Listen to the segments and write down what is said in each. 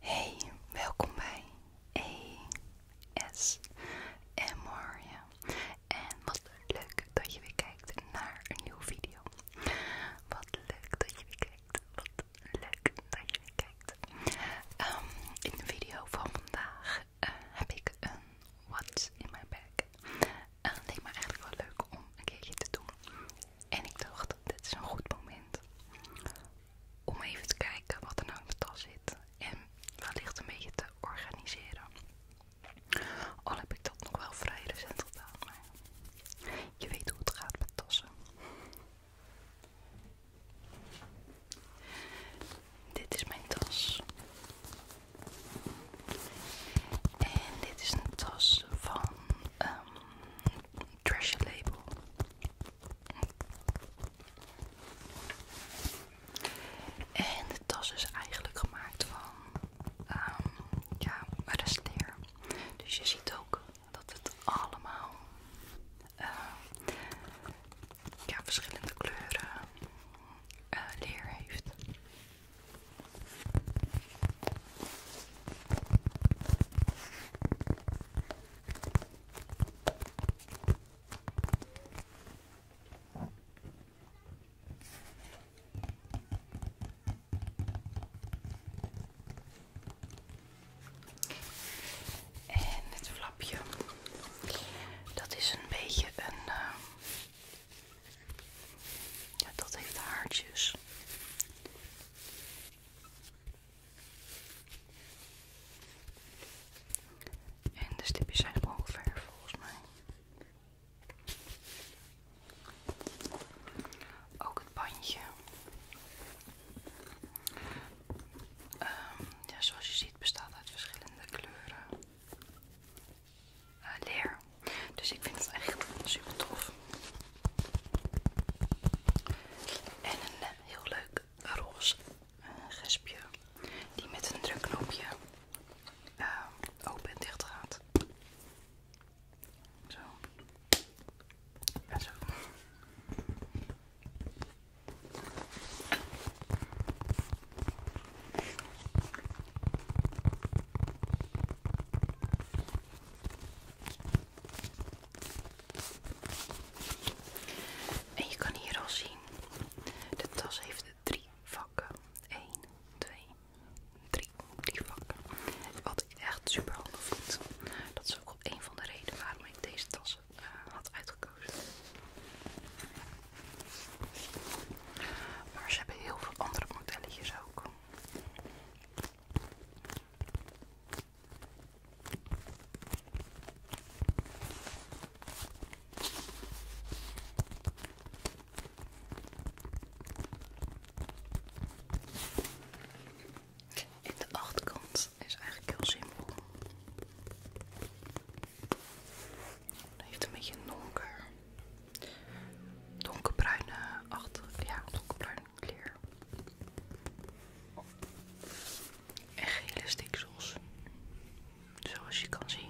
Hey, welkom bij ASMR. Ja. En wat leuk dat je weer kijkt naar een nieuwe video. Wat leuk dat je weer kijkt. Wat leuk dat je weer kijkt. Ehm, in de video van vandaag eh, heb ik een What's in mijn bag. En dat maar me eigenlijk wel leuk om een keertje te doen. En ik dacht, dit is een goed moment om even te kijken wat er nou in de tas zit. En wellicht een beetje te organiseren. Al heb ik dat nog wel vrij recent gedaan, maar je weet hoe het gaat met tassen. Dit is mijn tas. En dit is een tas van um, Label. En de tas is eigenlijk gemaakt van ehm, ja, restleer. Dus je ziet ook dat het allemaal ehm, ja, verschillende kleuren eh, leer heeft. En het flapje, dat is een beetje een eh, ja, dat heeft haartjes. En de stipjes zijn ongeveer ver volgens mij. Ook het bandje. Ehm, ja, zoals je ziet bestaat uit verschillende kleuren. Eh, leer. Dus ik vind het echt super tof. En een eh, heel leuk roze eh, gespje die met een drukknopje open en dicht gaat. Zo. Ja zo. En je kan hier al zien, de tas heeft drie vakken. 1, 2, 3, drie vakken. Wat ik echt super handig vind. Dat is ook op een van de redenen waarom ik deze tas eh, had uitgekozen. Maar ze hebben heel veel andere modelletjes ook. En de achterkant is eigenlijk heel simpel. Hij heeft een beetje donker, donkerbruine achter, ja, donkerbruine kleur. En gele stiksels, zoals je kan zien.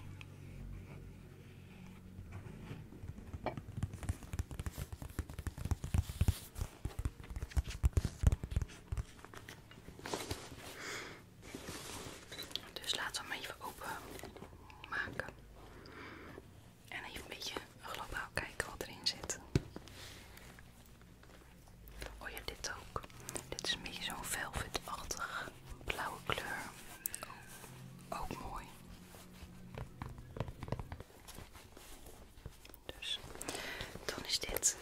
Dus laten we hem even openmaken. En even een beetje globaal kijken wat erin zit. Oh ja, dit ook. Dit is een beetje zo'n velvetachtig blauwe kleur. Oh, ook mooi. Dus dan is dit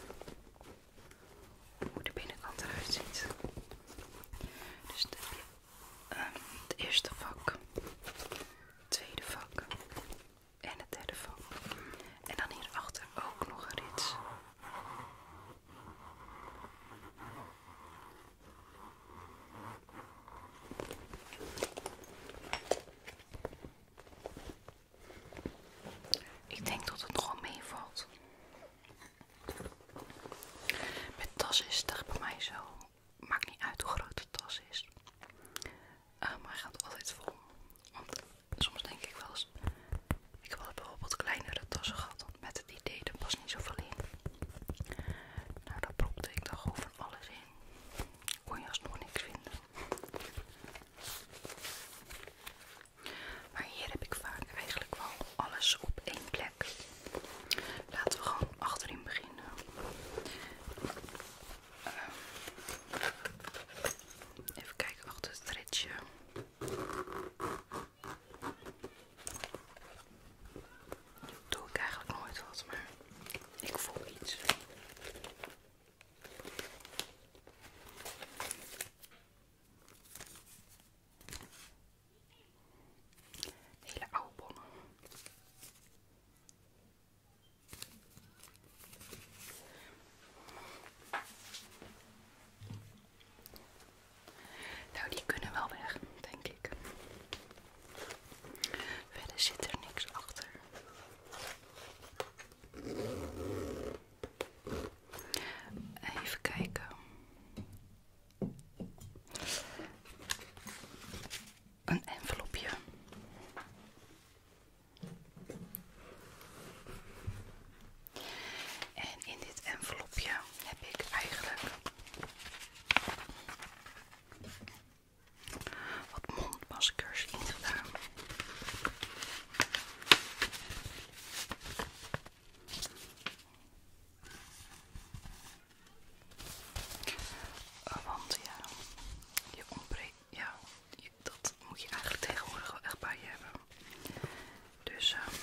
hoe de binnenkant eruit ziet. Dus dan heb ehm, het eerste vak, het tweede vak en het derde vak. En dan hierachter ook nog een rits. Ik denk dat het gewoon meevalt. Met tas is het bij mij zo. Maakt niet uit hoe groot de tas is. Eh, maar hij gaat altijd vol. Want soms denk ik wel eens. Ik had wel bijvoorbeeld kleinere tassen gehad. Met het idee, er pas niet zoveel in. Nou, daar propte ik dan gewoon van alles in. Kon je alsnog niks vinden. Maar hier heb ik vaak eigenlijk wel alles op één plek. Laten we gewoon achterin beginnen. Ehm, even kijken achter het ritje. Doe ik eigenlijk nooit wat, maar ik voel iets. Hele Nou, die kunnen wel weg, denk ik. Verder zit er niks achter. Even kijken. Een envelopje. En in dit envelopje heb ik eigenlijk wat mondmaskers ingedaan want ja, je ombre, ja, dat moet je eigenlijk tegenwoordig wel echt bij je hebben. Dus, ehm,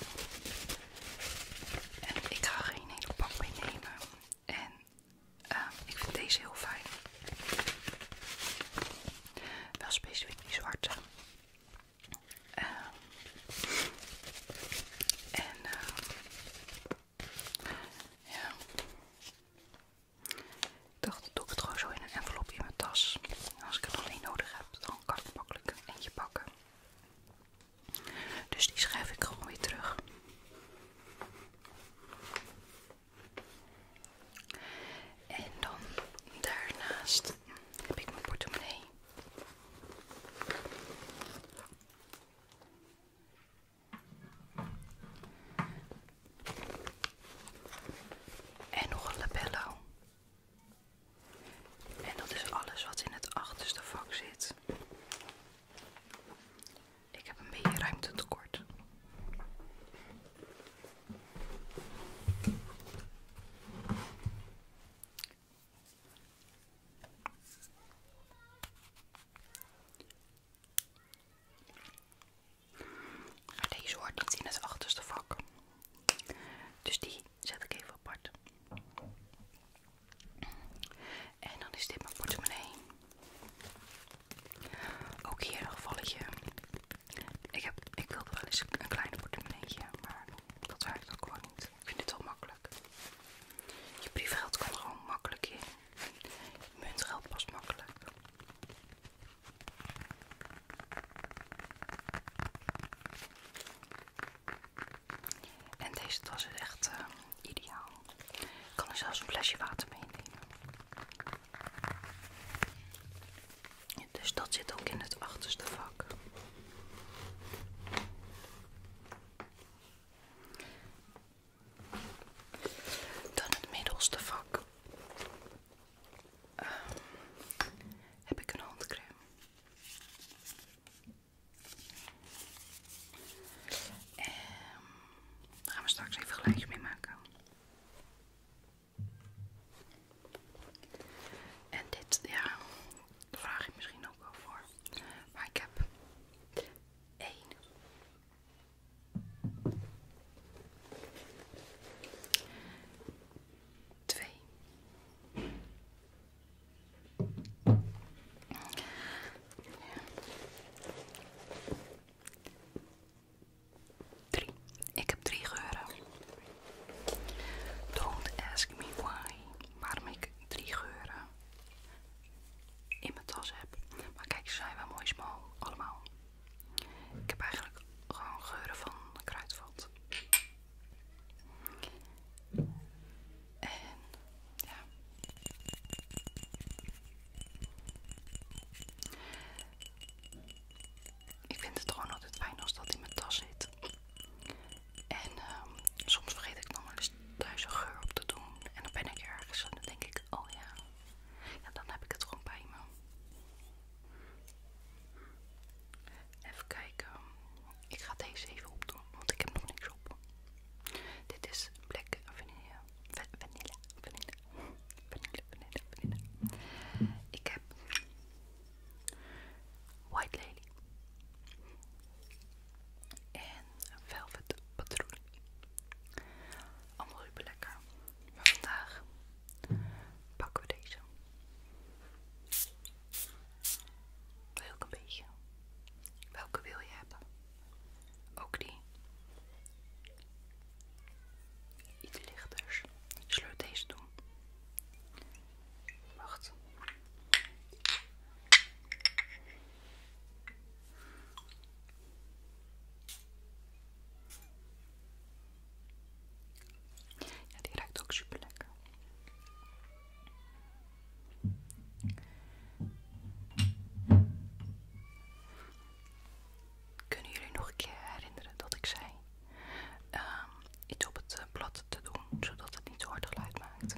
ik ga geen hele pak meenemen. En ehm, ik vind deze heel fijn. Wel specifiek die zwarte. Ehm, en ehm, ja, ik dacht, doe ik het gewoon zo in een envelopje in mijn tas. als ik het nog niet nodig heb, dan kan ik makkelijk een eentje pakken. Dus die schrijf ik gewoon weer terug. En dan daarnaast heb ik mijn portemonnee. En nog een labello. En dat is alles wat in het achterste vak zit. Ik heb een beetje ruimte tekort deze hoort niet in het achterste vak. Dus die zet ik even apart. En dan is dit mijn portemonnee. Ook hier een gevalletje. Ik, heb, ik wilde wel eens een, klein kleine portemonnee, maar dat werkt ook gewoon niet. Ik vind het wel makkelijk. Je briefgeld kan er gewoon makkelijk in. Je muntgeld pas makkelijk. En deze tas is echt ehm, ideaal. Ik kan er zelfs een flesje water meenemen. Dus dat zit ook in het achterste vak. Dan het middelste vak. Ehm, heb ik een handcreme. En ehm, daar gaan we straks even gelijk mee maken. En dit, ja, vraag je misschien ook wel voor. Maar ik heb één. Twee. Drie. Ik heb drie geuren. Don't ask me why. Waarom ik drie geuren in mijn tas heb. Maar kijk, ze zijn wel mooi smal. Allemaal. Ik heb eigenlijk gewoon geuren van kruidvat. En ja. Ik vind het gewoon altijd fijn als dat in mijn tas zit. En ehm, soms vergeet ik nog wel eens thuis een geur op te doen. En dan ben ik ergens en dan denk ik, oh ja, ja dan heb ik het gewoon bij me. Even kijken. Ik ga deze even opdoen, want ik heb nog niks op. Dit is Black vanille vanille vanille. Ik heb White Lady en Velvet Patroon. Allemaal super lekker. Maar vandaag pakken we deze. Welke een beetje. Welke wil je hebben? Ook die iets lichters. Zullen we deze doen? Wacht. Ja, die ruikt ook superlekker. Kunnen jullie nog een keer herinneren dat ik zei ehm, iets op het eh, blad te doen, zodat het niet zo hard geluid maakt?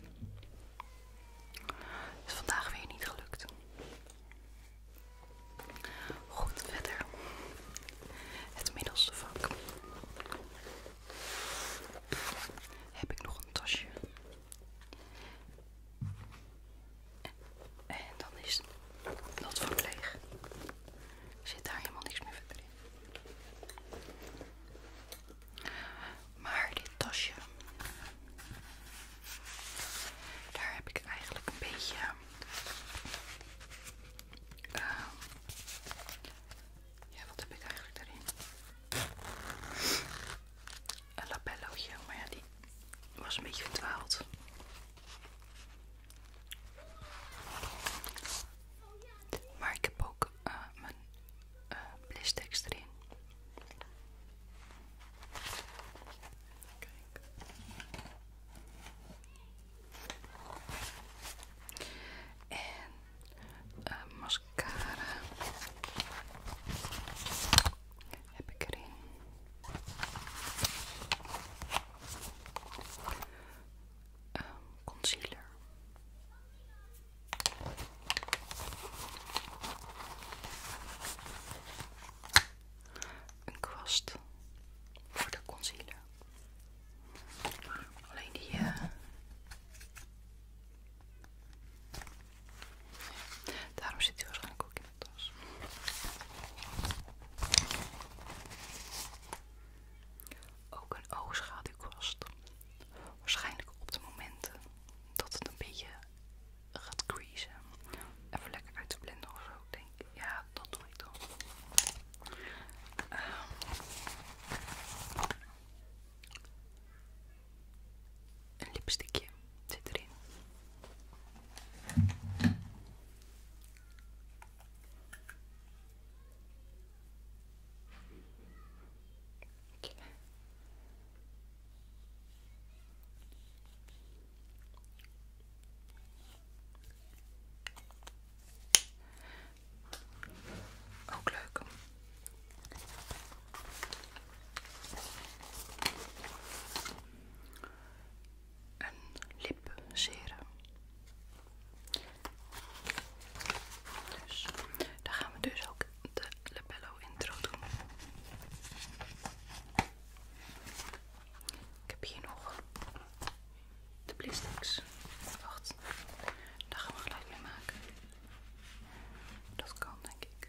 Is vandaag weer niet gelukt. Goed, verder. Het middelste vak. Heb ik nog een tasje? En dan is dat vak leeg zit daar helemaal niks meer verder in. Maar dit tasje, daar heb ik eigenlijk een beetje ehm, ja, wat heb ik eigenlijk daarin? Een lapellootje, maar ja, die was een beetje verdwaald. Maar ik heb ook uh, mijn uh, blistex erin. Kijk. En uh, mascara heb ik erin. Um, concealer. Een kwast voor de concealer. Alleen die. Uh, daarom zit hij waarschijnlijk ook ook een oogschaduwkwast. Waarschijnlijk op de momenten dat het een beetje gaat creasen. Even lekker uit te blenden of zo, denk ik. Ja, dat doe ik dan. Ehm, een lipstickje zit erin. Ook leuk een lipserum. Dus daar gaan we dus ook de labello intro doen. Ik heb hier nog de plastics. Wacht, daar gaan we gelijk mee maken. Dat kan denk ik.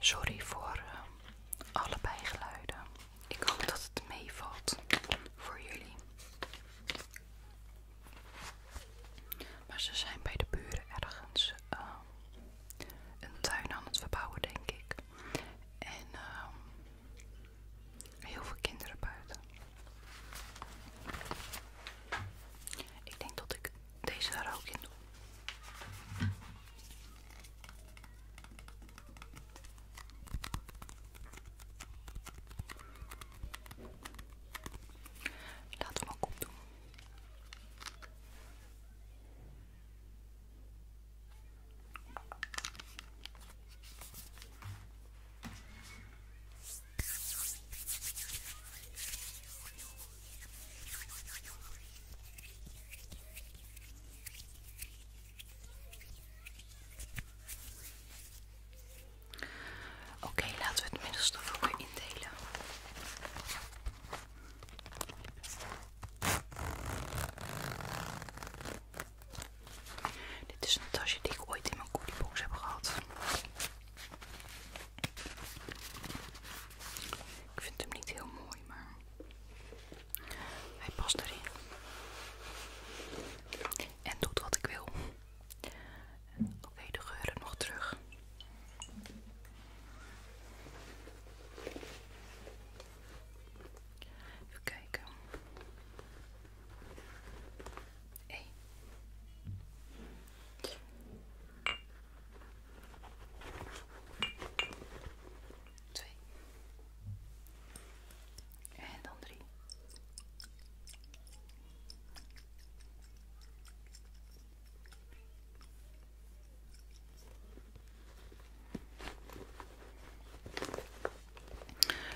Sorry voor eh, alle bijgeluiden. Ik hoop dat het meevalt voor jullie. Maar ze zijn bij de buren ergens eh, een tuin aan het verbouwen, denk ik. En ehm, heel veel kinderen buiten. Ik denk dat ik deze er ook in doe. Laten hem ook opdoen. Oké, laten we het middelstof ook weer indelen. Dit is een tasje die ik ooit in mijn cookiebox heb gehad. Ik vind hem niet heel mooi, maar hij past erin. En doet wat ik wil. Oké, okay, de geuren nog terug. Even kijken. Hey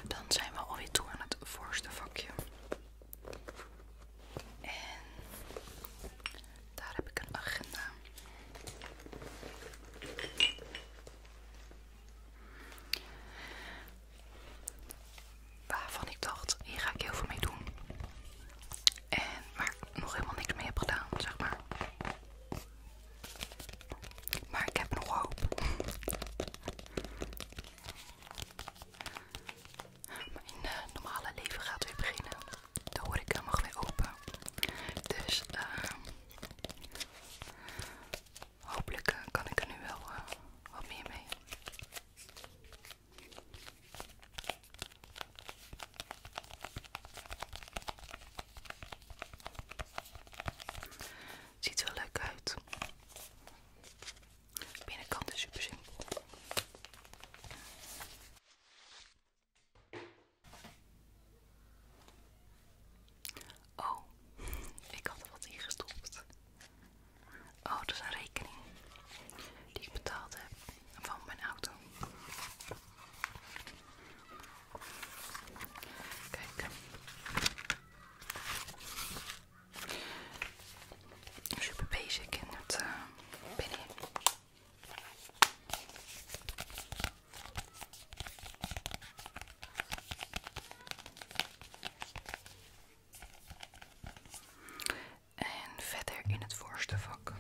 dan zijn we alweer toe aan het voorste vakje. Daar heb ik een agenda. Waarvan ik dacht, hier ga ik heel veel mee doen. En maar nog helemaal niks mee heb gedaan, zeg maar. Maar ik heb nog hoop. Mijn eh, normale leven gaat weer beginnen de ik helemaal weer open. Dus ehm, hopelijk eh, kan ik er nu wel eh, wat meer mee. Ziet wel leuk uit. De binnenkant is super simpel. Oh, ik had er wat in gestopt. Oh, dat is een rekening die ik betaald heb van mijn auto. Kijk. Super basic in het uh, en verder in het voorste vak.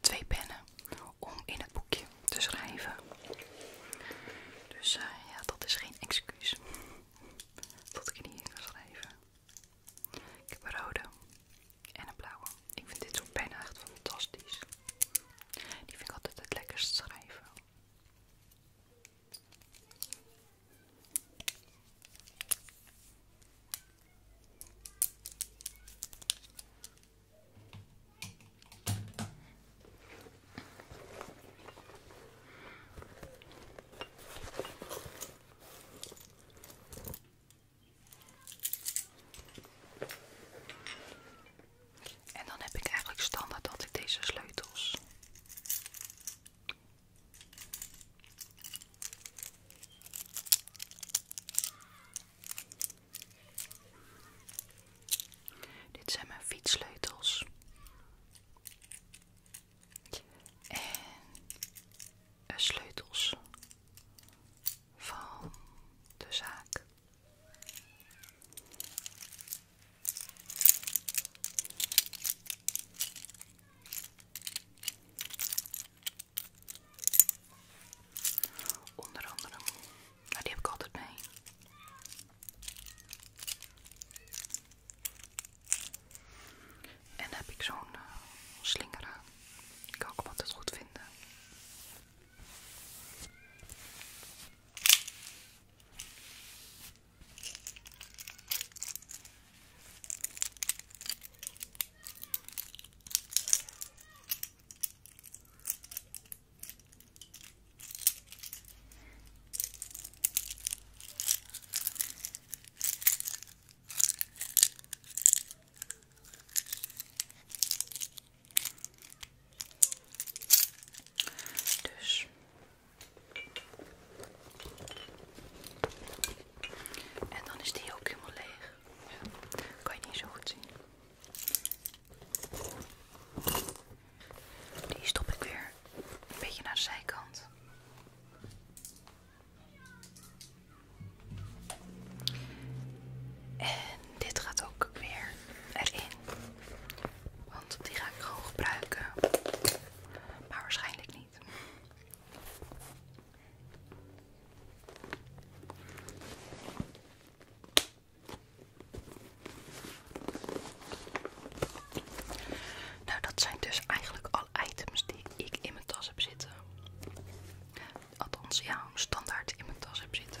Twee pennen om in het boekje te schrijven. Dus eh, ja, dat is geen excuus dat ik niet kan schrijven. Ik heb een rode en een blauwe. Ik vind dit soort pennen echt fantastisch. Die vind ik altijd het lekkerst schrijven. En dan heb ik eigenlijk standaard altijd deze sleutels. Dit zijn mijn fietssleutels. En de sleutels van de zaak. Onder andere nou, die heb ik altijd mee. En heb ik zo'n eh, slingeren Ik kan ook altijd goed vinden. Dus en dan is die ook helemaal leeg. Ja. Kan je niet zo goed zien. Die stop ik weer een beetje naar de zijkant. En dit gaat ook weer erin. Want die ga ik gewoon gebruiken. Maar waarschijnlijk niet. Nou, dat zijn dus eigenlijk alle items die ik in mijn tas heb zitten. Althans, ja, standaard in mijn tas heb zitten.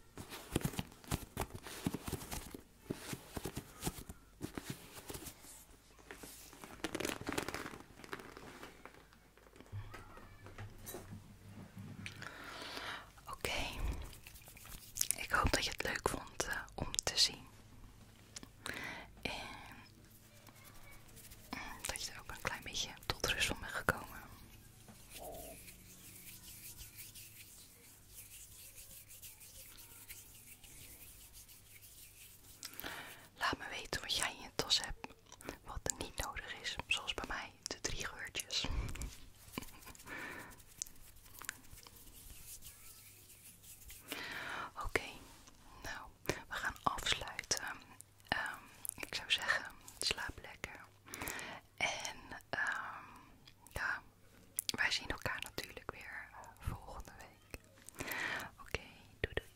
Oké, ik hoop dat je het leuk vond eh, om te zien. En mm, dat je er ook een klein beetje tot rust van bent gekomen. Laat me weten wat jij in je tas hebt, wat niet nodig is, zoals bij mij de drie geurtjes. Oké, nou, we gaan afsluiten. Ehm, ik zou zeggen, slaap lekker. En um, ja, wij zien elkaar natuurlijk weer eh, volgende week. Oké, doe dit.